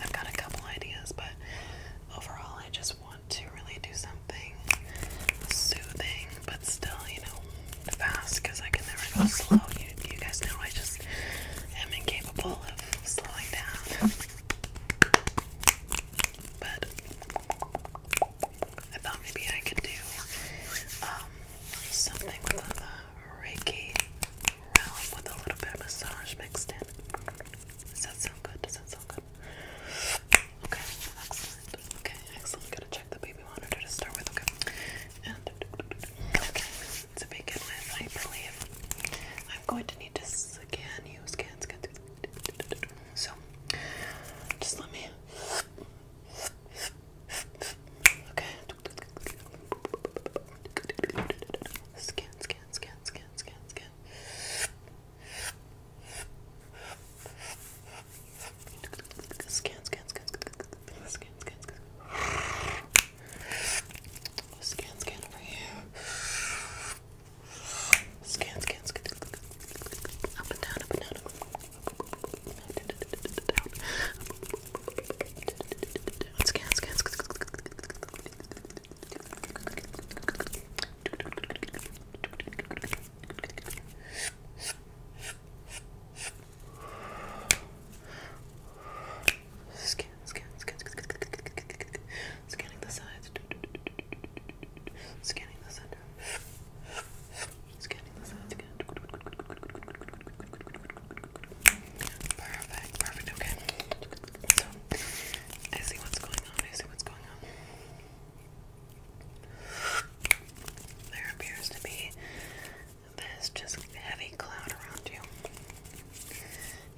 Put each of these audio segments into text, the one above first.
I've got a couple ideas, but overall, I just want to really do something soothing, but still, you know, fast because I can never go slow. You, guys know I just am incapable of slowing down. But I thought maybe I could do um, something with the Reiki realm with a little bit of massage mixed in. Does that sound good? Does that sound good? Okay, excellent. Okay, excellent. Gotta check the baby monitor to start with. Okay. And okay, to begin with, I believe I'm going to need to scan you. Scan, So, just let me. Okay. Scan, scan, scan, scan, scan, scan. Scan, scan, scan, scan, scan, scan, scan. Scan, scan over here. Scan, scan, scan. Up and down, up and down. Let's scan, scan, scan. Scan, scan, scan, scanning the sides, scanning the center. Scanning the sounds again. Perfect, perfect, okay. I see what's going on, I see what's going on. There appears to be this just heavy cloud around you.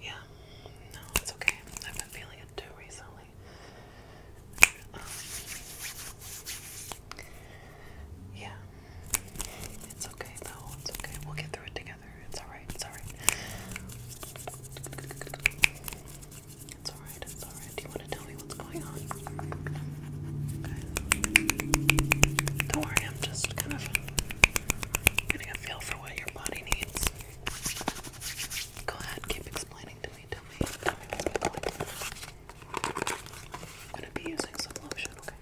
Yeah, no, it's okay. I've been feeling it too recently. Um, yeah, it's okay though. It's okay. We'll get through it together. It's alright. It's alright. It's alright. It's alright. Do you want to tell me what's going on? Don't worry. I'm just kind of getting a feel for what your body needs. Go ahead. Keep explaining to me. Tell me. I'm gonna be using some lotion, okay?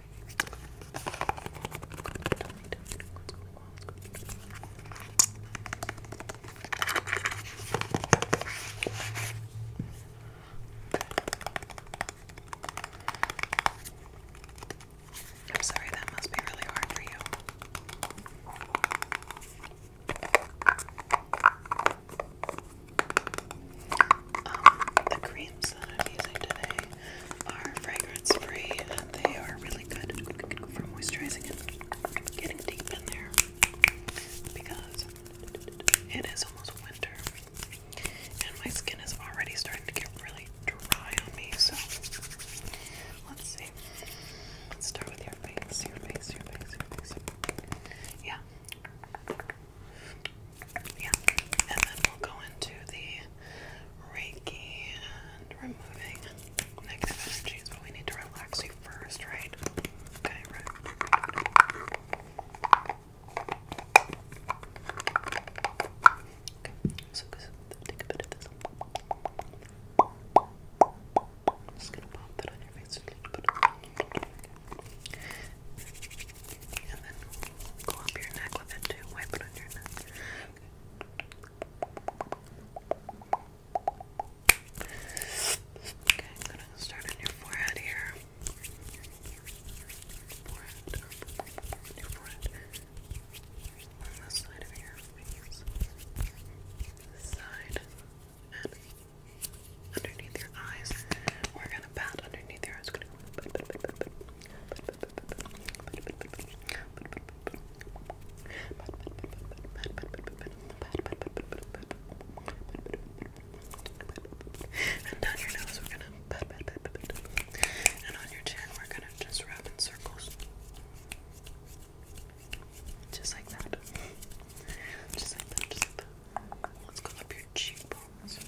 I'm sorry, that must be really hard for you. Um, the creams that I'm using today are fragrance free and they are really good for moisturizing and getting deep in there because it is almost winter and my skin is already starting to get really dry on me. So let's see. Let's start with your face, your face, your face, your face. Yeah, yeah, and then we'll go into the Reiki and removing negative energies, but we need to relax you first, right? Okay, right. Okay, so take a bit of this. I'm just gonna pop that on your face a little bit. And then Go up your neck with it too. Wipe it on your neck. Okay, I'm gonna start on your forehead here. Forehead. forehead. On this side of your face. This side. And underneath your eyes. We're gonna and down your nose we're gonna and on your chin we're gonna just wrap in circles. Just like that. Just like that, just like that. Let's go up your cheekbones.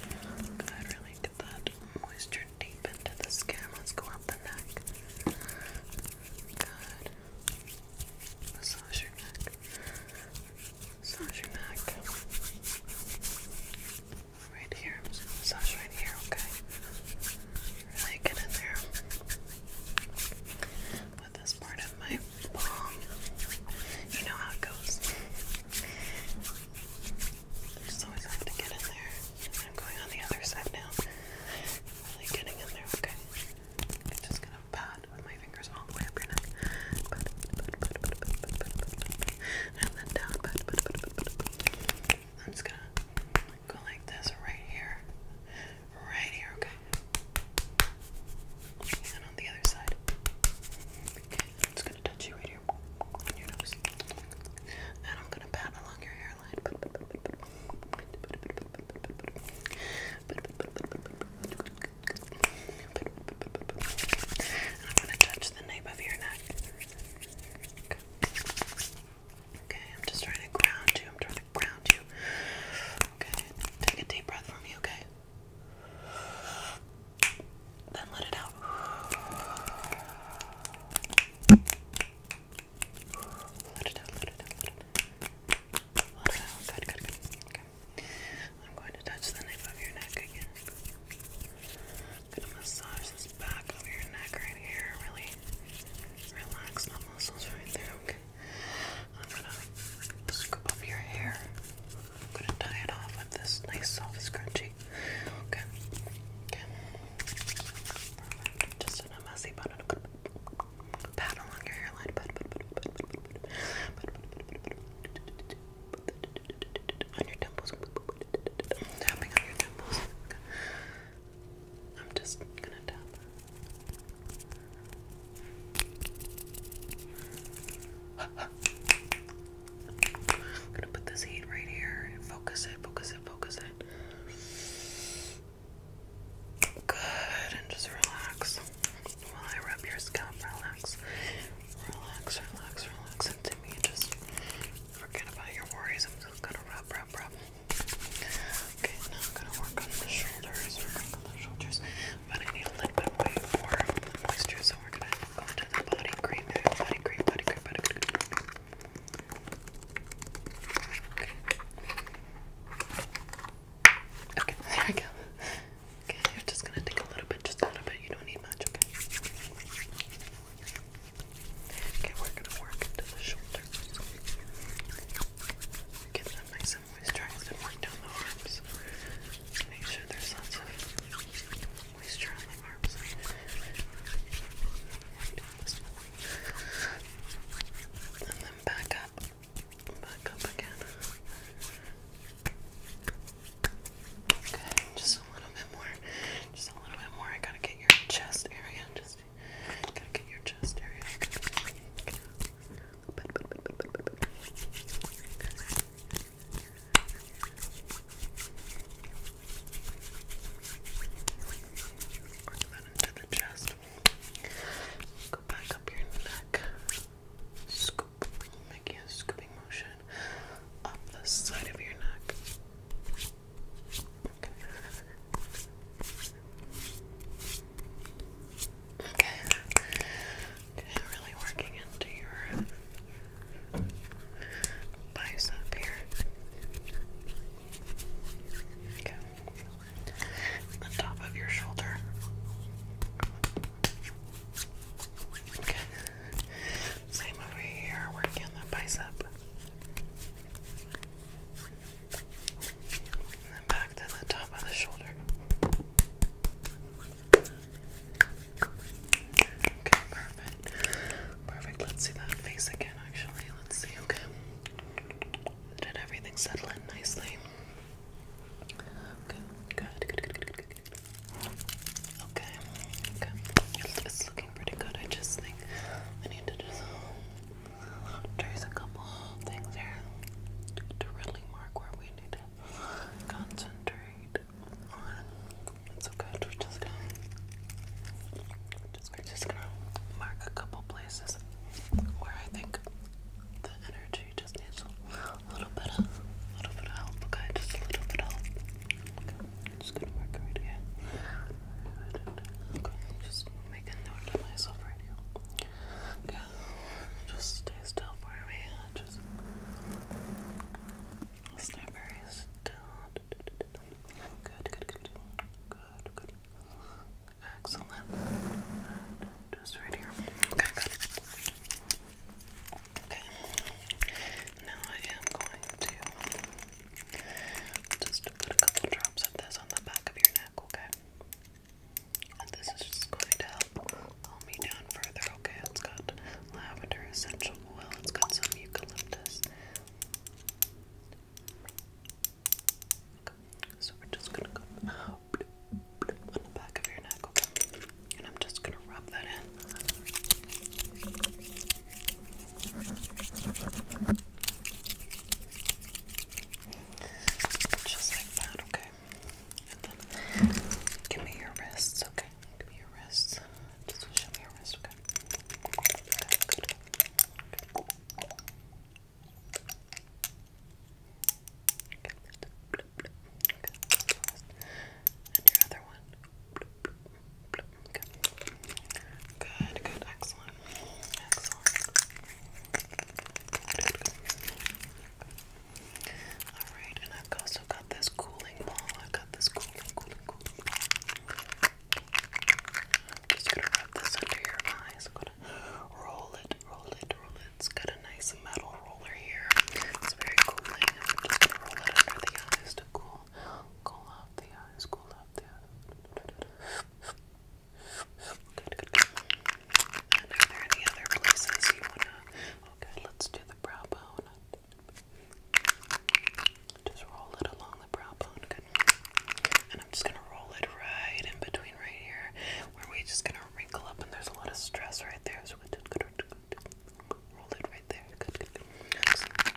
Good, really get that moisture deep into the skin. Let's go up the neck. Good. Massage your neck. Massage your neck. Right here. Massage right here, okay? Really get in there this part of my palm. You know how it goes. Just always have to get in there. I'm going on the other side now. really getting in there, okay? just gonna pat with my fingers all the way up your neck. Pat, pat, pat, pat, pat, pat, pat, pat, pat. And then down. Pat, pat, pat, pat, pat, pat. I'm just gonna go like this right here right here, okay? And on the other side. Okay, I'm gonna touch you right here on your nose. And I'm gonna pat along your hairline. I'm gonna touch the nape of your neck. Okay. I'm just trying to ground you. I'm trying to ground you. Okay, take a deep breath from me, okay? Then let it out. Let it out, let it out, let it out. Good, good, good. Okay. I'm going to touch the nape of your neck again. gonna massage this back of your neck right here. Really relax the muscles right there, okay? I'm gonna scoop up your hair. I'm gonna tie it off with this nice soft scrunchie. Okay. Just in messy bun. Pat along your hairline. On your temples. Tapping on your temples. I'm just gonna tap. I'm gonna put this heat right here focus it, focus it, focus it. Good, and just relax. While I rub your scalp, relax. Relax, relax, relax. And me, just forget about your worries. I'm just gonna rub, rub, rub. Okay, now I'm gonna work on the shoulders. Work on the shoulders but I need a little bit more moisture, so we're gonna go into the body cream, body cream, body cream, body cream. Okay. there we go. Okay, you're just gonna take a little bit, just a little bit. You don't need much, okay? Okay, we're gonna work into the shoulders. Get that nice I'm always trying to work down the arms make sure there's lots of moisture on the arms. And then back up, back up again. Good, just a little bit more, just a little bit more. I gotta get your chest area, just gotta get your chest area. Go back up your neck. Scoop. Making a scooping motion up the side of your neck. Okay. really working into your bicep here. Okay, the top of your shoulder. Okay, same over here, working the bicep. then back to the top of the shoulder. Okay, perfect. Perfect. Let's see that face again, actually. Let's see, okay. Did everything settle in nicely? good, good, good, good, good, good. Okay, okay. It's looking pretty good. I just think I need to just trace a couple things here to really mark where we need concentrate on. It's okay. We're just gonna, just, gonna mark a couple places where I think the energy just needs a little bit of, a little bit of help. Okay, just a little bit of help. Okay, just gonna mark right here. Okay, just making note of myself right now. Okay, just stay still for me. Just stay very still. Good, good, good. Good, good. Excellent. Just right here. Okay, Okay. Now I am going to just put a couple drops of this on the back of your neck, okay? This is just going to help calm me down further. Okay, it's got lavender essential oil, it's got some eucalyptus. so we're just gonna go oh, on the back of your neck, okay? And I'm just gonna rub that in. Just like that, okay? give me your wrists, okay? Give me your wrists. Just show me your wrist, okay? Good, good, excellent. Excellent. good. Alright, and I've also got this cooling ball. I've got this cooling, cooling, cooling ball. I'm just gonna rub this under your eyes. I'm gonna roll it, roll it, roll it. It's got a nice metal roller here. It's very cooling. I'm just gonna roll it under the eyes to cool, cool off the eyes, cool off the eyes. Good, good, good. And are there any other places you wanna? Okay, oh, let's do the brow bone. Just roll it along the brow bone. Good. And I'm just gonna roll it right in between right here, where we just gonna wrinkle up, and there's a lot of stress right there. So we good, good, good. Roll it right there. Good, good, good. Excellent.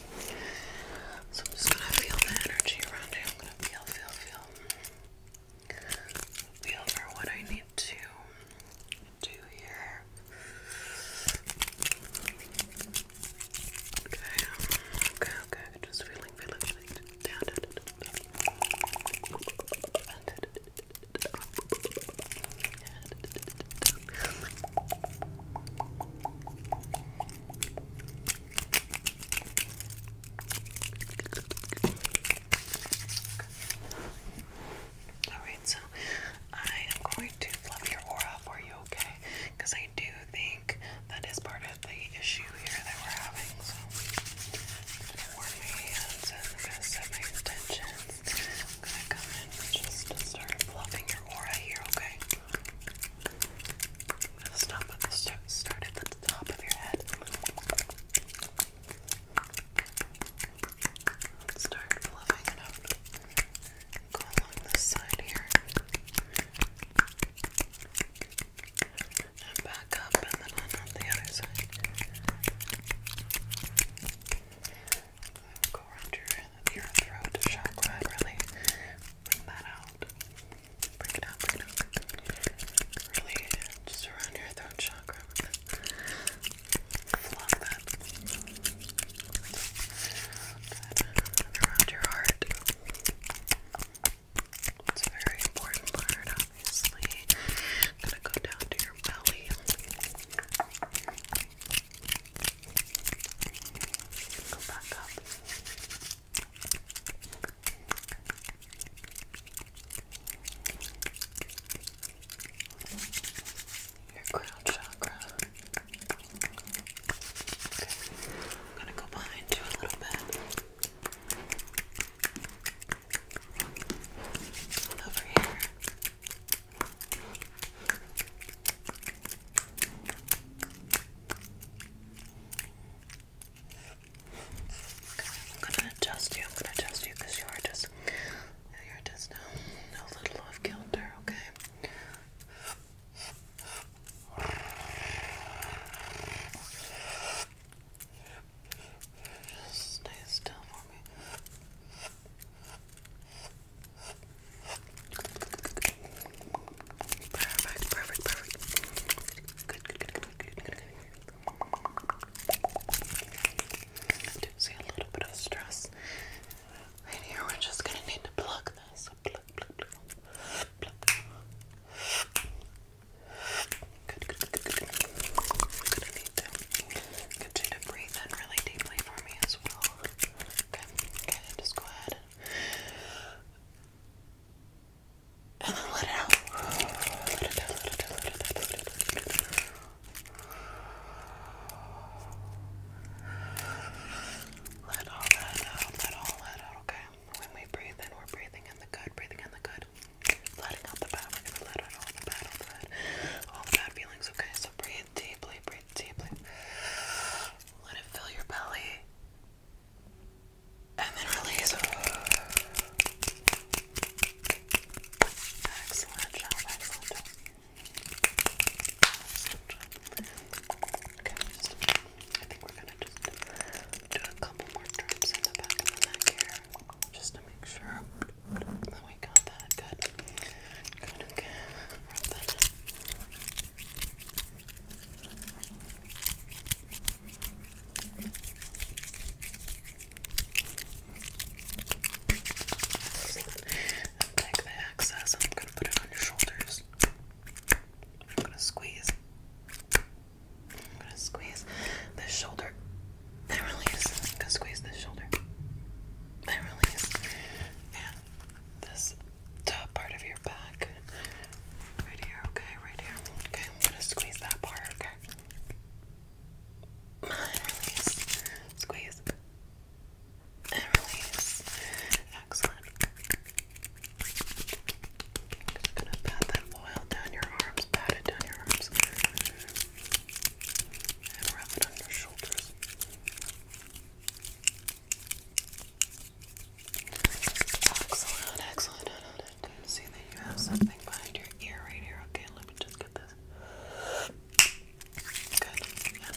So I'm just gonna feel the energy around you. I'm gonna feel, feel, feel. Feel for what I need to do here. Okay, okay, okay. Just feeling, feeling, feeling. Down, down, down, down. Alright, so I am going to fluff your aura for you, okay? Because I do think that is part of the issue here that we're having. So, I'm set my intentions. I'm gonna come in and just start fluffing your aura here, Okay. I'm gonna stop at the start at the top of your head. Start fluffing it up. Go along this side here. And back up and then on the other side. Go around your, throat chakra really bring that out. Bring it out, bring it out. Really, just around your throat chakra. Flop that. Around your heart. It's a very important part, obviously. gonna go down to your belly. Go back up. Your crown chakra. Okay. I'm gonna go behind you a little bit. Over here. I'm gonna adjust you. I'm gonna adjust you because you are just, you are just a, a little off kilter. Okay. Just stay still for me. Perfect, perfect, perfect. Good, good, good, good, good, good, I do see a little bit of stress right here. We're just gonna need to pluck this. Pluck, pluck, pluck, pluck. Good, good, good, good, good. I'm gonna need to get you to breathe in really deeply for me as well. Okay, okay, just go ahead and then let it out. Let it out, let it out, let it out, let it out, let it out. okay? When we breathe in, we're breathing in the good, breathing in the good. Letting out the bad, we're gonna let out all the bad, all the bad, all the bad feelings, okay? So breathe deeply, breathe deeply. Let it fill your belly and then release. Excellent job, excellent job. Okay, just, I think we're gonna just do a couple more drops in the back of the neck here, just to make sure that we got that good. Good, okay take the excess I'm gonna put it on your shoulders. I'm gonna squeeze. I'm gonna squeeze this shoulder. release. gonna squeeze this shoulder. release. And this top part of your back. Right here, okay, right here. Okay, I'm gonna squeeze that part, okay? And release. Squeeze. And release. Excellent. i gonna pat that oil down your arms, pat it down your arms. And wrap it on your shoulders. Excellent, excellent. I can see that you have something behind your ear right here. Okay, let me just get this. Good.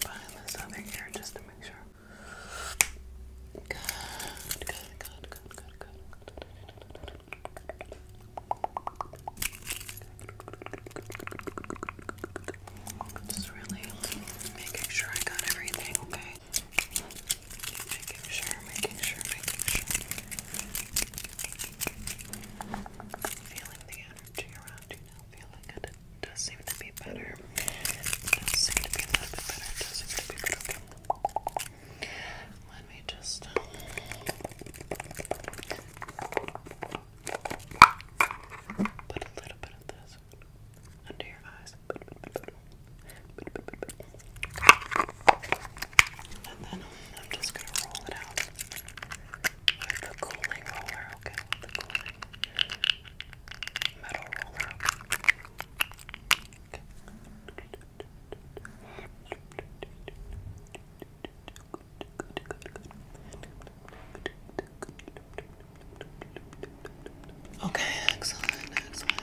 behind this other ear just to make sure. Good, good, good, good, good, good. Just really making sure I got everything okay. Making sure, making sure, making sure. Feeling the energy around you now, feeling it. does seem to be better. does seem to be a bit better. does seem to be good. Let me just. Um, put a little bit of this under your eyes. And then I'm just gonna roll it out with the cooling roller, okay? With the cooling metal roller. Okay. Good, good, good, good. Okay, excellent, excellent.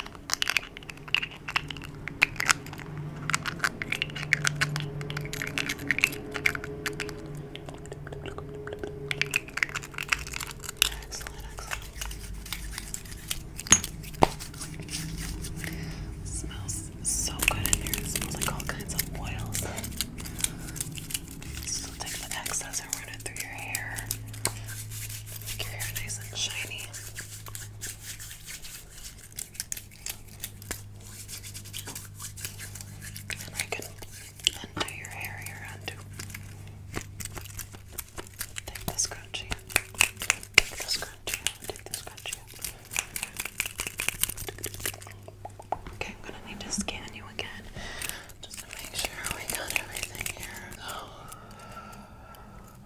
Smells so good in here. smells like all kinds of oils. So take the excess and run it through your hair. Make your hair nice and shiny. And I can your hair here, undo. Take the scrunchie. Take the scrunchie. Take the scrunchie. Okay, I'm gonna need to scan you again just to make sure we got everything here.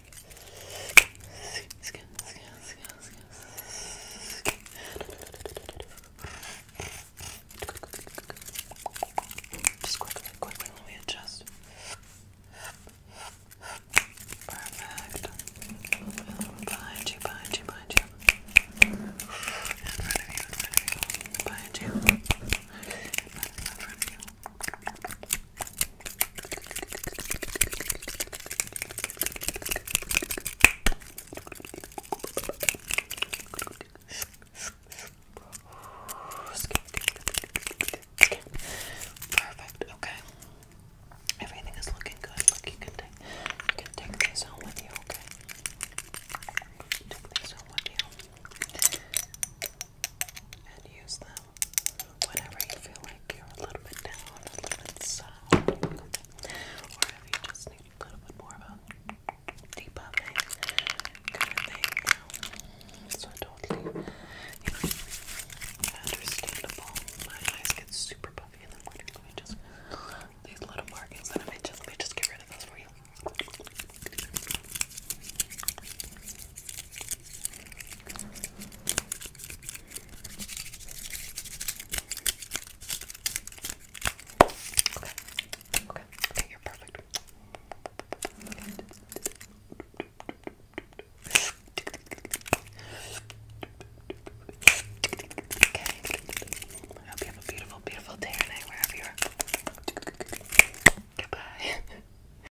Just quickly, quickly, let me adjust. Perfect. A little bit behind you, behind you, behind you. In front of you, in front of you. Behind you. In front of you, in front of you. Perfect. Okay. Everything is looking good. Look, you can take you can take this home with you. Okay. Take this home with you and use them whenever you feel like you're a little bit down, a little bit sad, or if you just need a little bit more of a debuffing kind of thing. So totally, understandable. My eyes get super puffy, and then like, let just these little markings that I made. Just let me just get rid of those for you. Okay, okay, you're perfect. Okay. I hope you have a beautiful, beautiful day or wherever you are. Goodbye.